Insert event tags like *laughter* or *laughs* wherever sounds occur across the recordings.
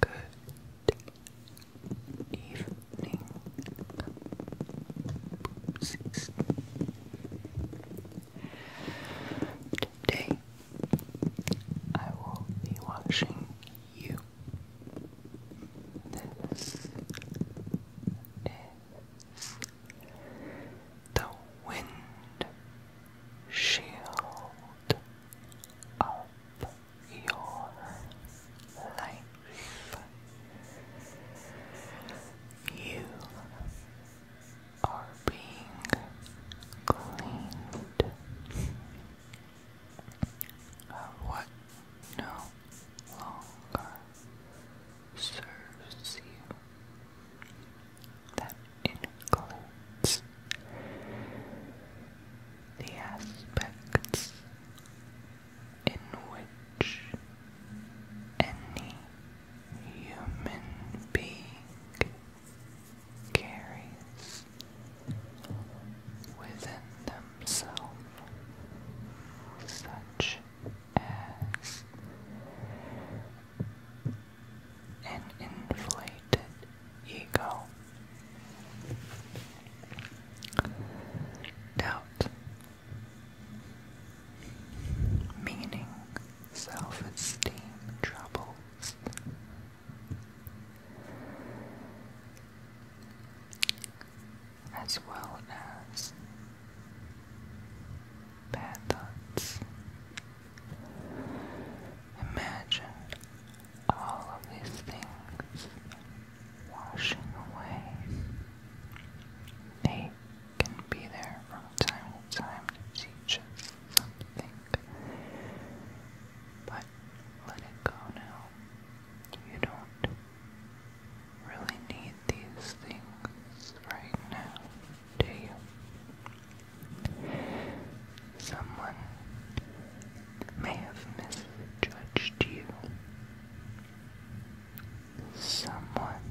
Good evening, Today I will be watching you. This the wind shield up your life. You are being cleaned of what no longer serves you that includes the aspects in which any human being carries within themselves, such as and inflated ego. Doubt, meaning, self esteem troubles. As well as bad thoughts, Imagine all of these things washing away. They can be there from time to time to teach us something. But let it go now. You don't really need these things right now to you. Someone may have misjudged you. Someone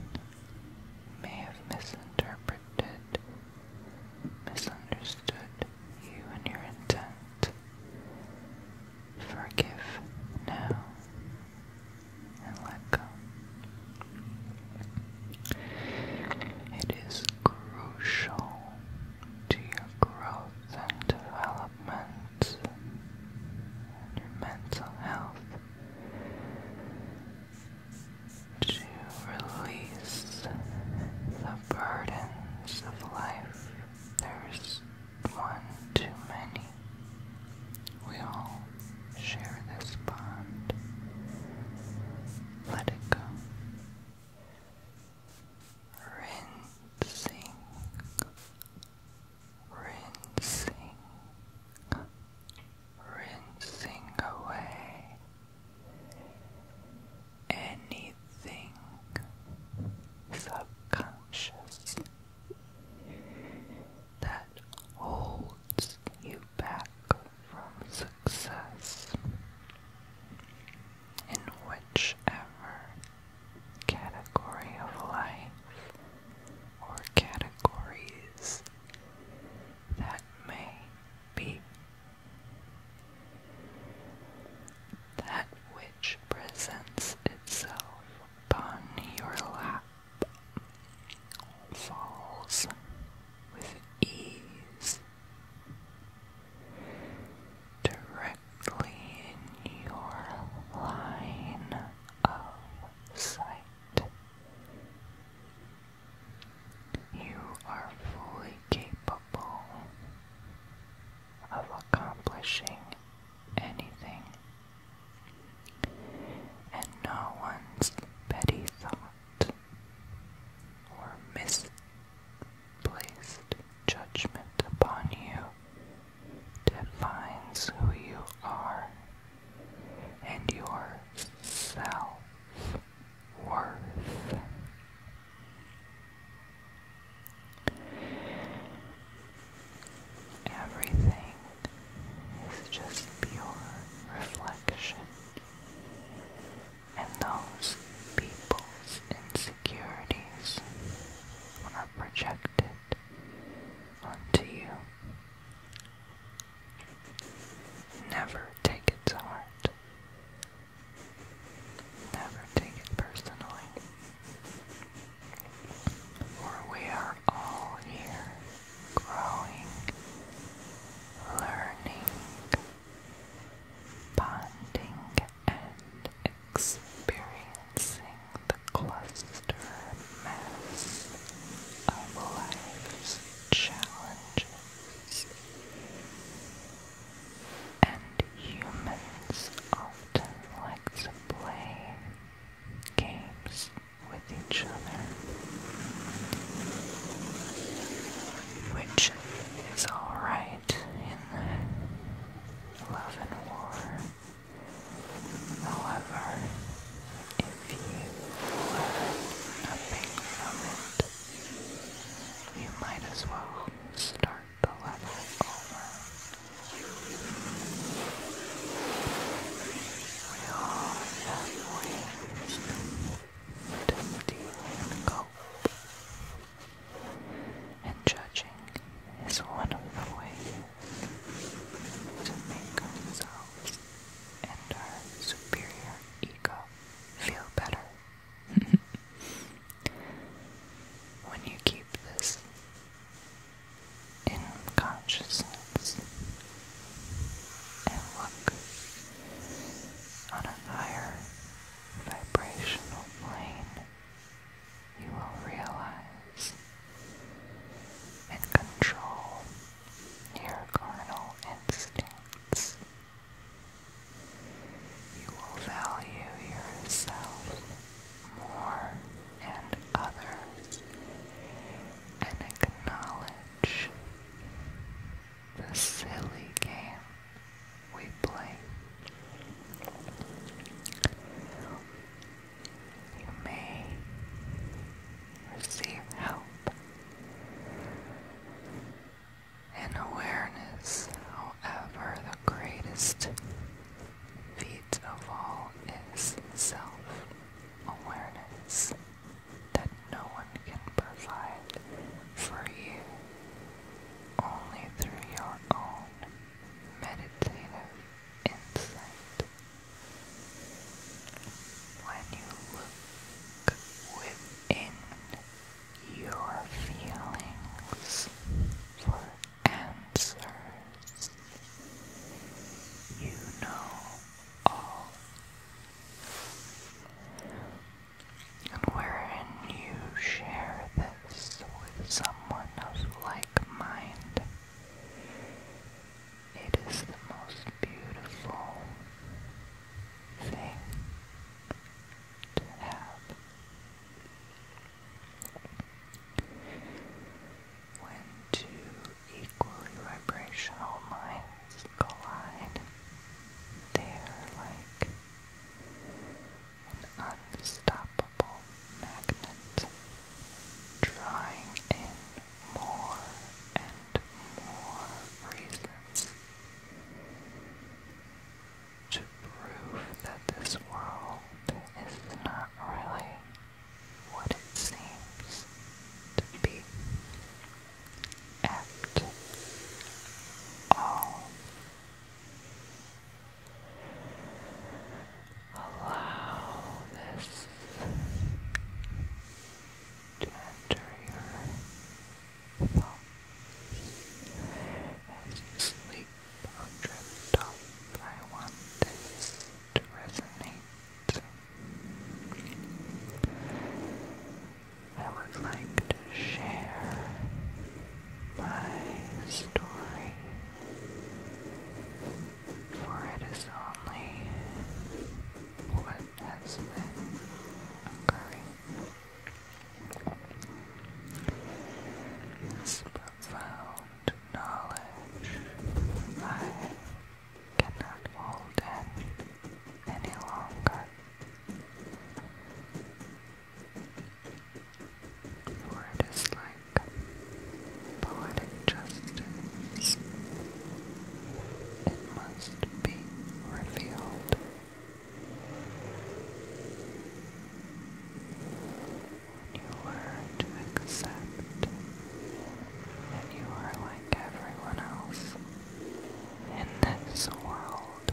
may have misinterpreted, misunderstood you and your intent. Forgive now and let go. It is crucial to your growth and development, your mental health, to release the burdens of life. There's one too many. We all share this bond let it go. Rinsing, rinsing, rinsing away anything subconscious that holds you back from success in whichever category of life or categories that may be. That which presents itself upon your lap falls with ease directly in your line of sight. You are fully capable of accomplishing anything, and no one's petty thoughts or misplaced judgment upon you defines who you are and your self worth. Everything is just pure reflection and those people's insecurities are projected onto you. Never take it to heart. Never take it personally. For we are all here growing, learning, bonding and experiencing the cluster mass of life's challenges. And humans often like to play games with each other which is alright in love and war. However, if you learn nothing from it, you might as well start the level over to stealing cope. And judging is one of the ways to make ourselves and our superior ego feel better. *laughs* when you keep this in consciousness, and look on a higher vibrational plane, you will realize and control your carnal instincts. You will value yourself more and others and acknowledge the silly game we play. You may receive help and awareness, however, the greatest feat of all is self awareness that no one can provide for you only through your own meditative insight. When you look within your feelings for answers, you know all and wherein you share this with someone of like mind. It is the most beautiful thing to have. When two equally vibrational minds they are like an unstoppable magnet, drawing in more and more reasons to prove that this world is not really what it seems to be at all. Allow this to enter your thoughts as you sleep I want this to resonate I would like to share my story, for it is only what has been occurring. This profound knowledge I cannot hold in any longer. For it is like poetic justice. It must be revealed. you learn to accept that you are like everyone else, in this world.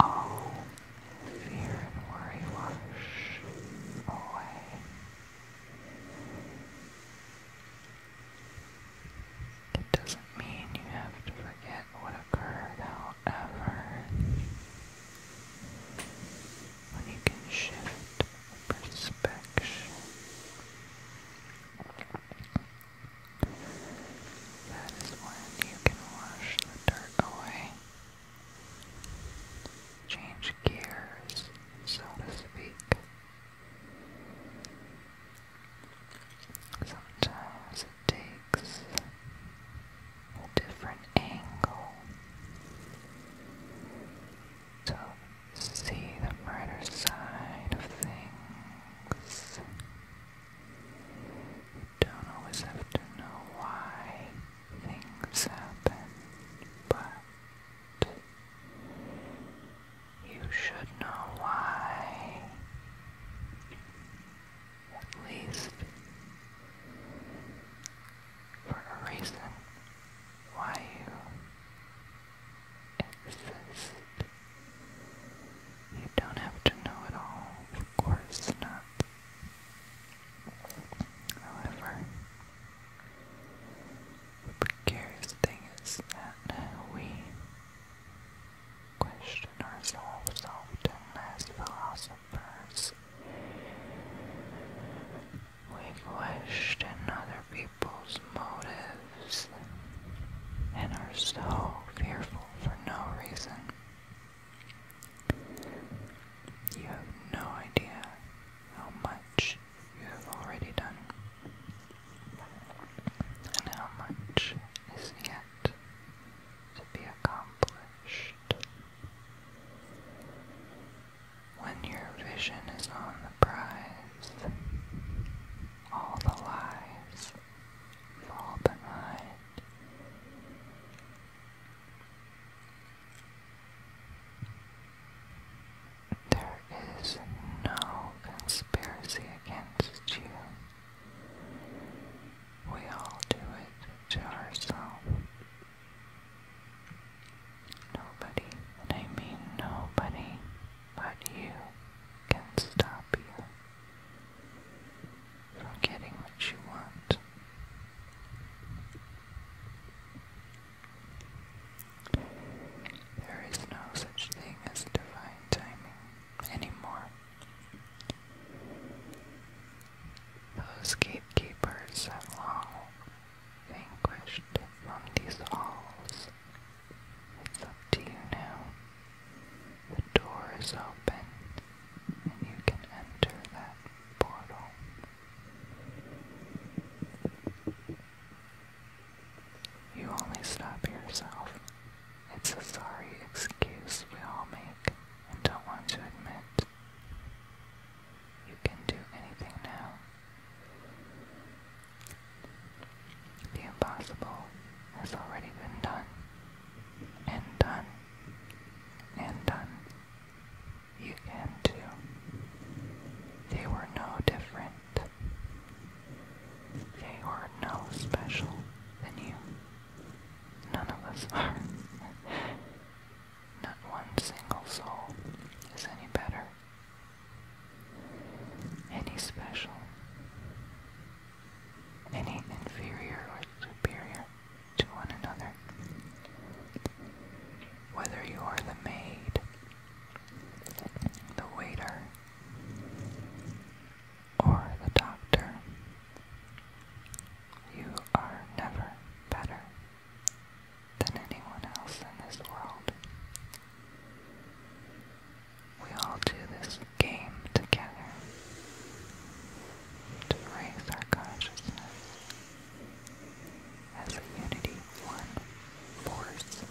All oh, fear and worry wash away. It doesn't mean you have to forget what occurred, however. When you can shift Perspection. That is when you can wash the dirt away. Change gears, so to speak. Sometimes it takes a different angle to see the brighter side of things. You don't always have to know why things happen, but you should know why. At least for a reason why you exist. You don't have to know it all, of course not. However, the precarious thing is that we question ourselves often as philosophers. We question other people's motives and are so fearful for no reason. You have no idea how much you have already done and how much is yet to be accomplished. When your vision is on the prize, all the lies fall behind. There is no conspiracy against you. We all do it to ourselves. Nobody, I mean nobody, but you can stop you from getting what you want. There is no such thing as divine timing anymore. Those gatekeepers have long vanquished from these halls. It's up to you now. The door is open, and you can enter that portal. You only stop yourself. It's a sorry excuse we all make and don't want to admit. You can do anything now. The impossible has already been done, and done, and done. You can too. They were no different. They were no special than you. None of us are. *laughs* Not one single soul is any better. Any special? Any inferior or superior to one another? Whether you are the maid, the waiter, or the doctor, you are never better than anyone else in this world. We all do this game together to raise our consciousness as a unity, one force.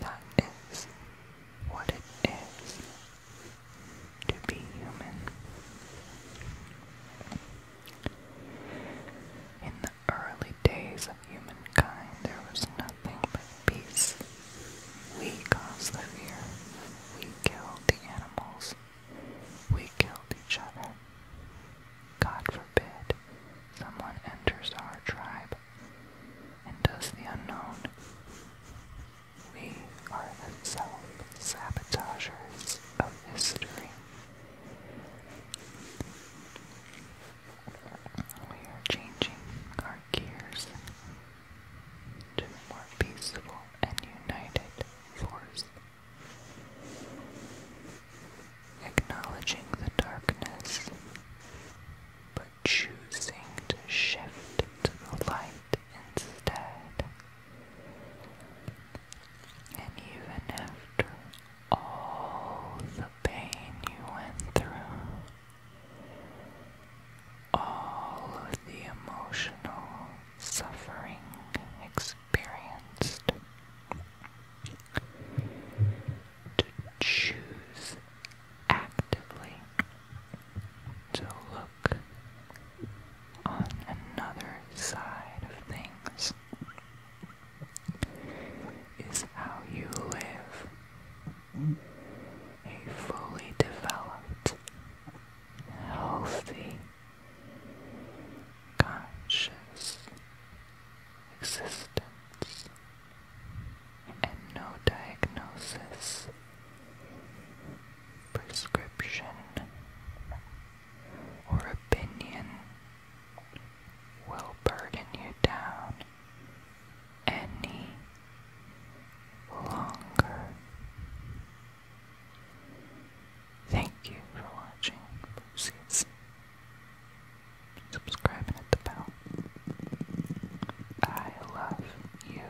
That is what it is to be human. In the early days of humankind, there was nothing but peace. We caused the fear. We killed the animals. We killed each other. God forbid someone enters our tribe and does the unknown. We are the self sabotagers of history. We are changing our gears to a more peaceful and united force. Acknowledging the darkness, but choosing to shift to the light instead. And even after all the pain you went through, all of the emotional suffering experienced, to choose actively to look on another side of things is how you live a fully developed, healthy, conscious existence and no diagnosis, prescription, or opinion will burden you down any longer. Thank you for watching, Lucy's. Subscribe and the bell. I love you.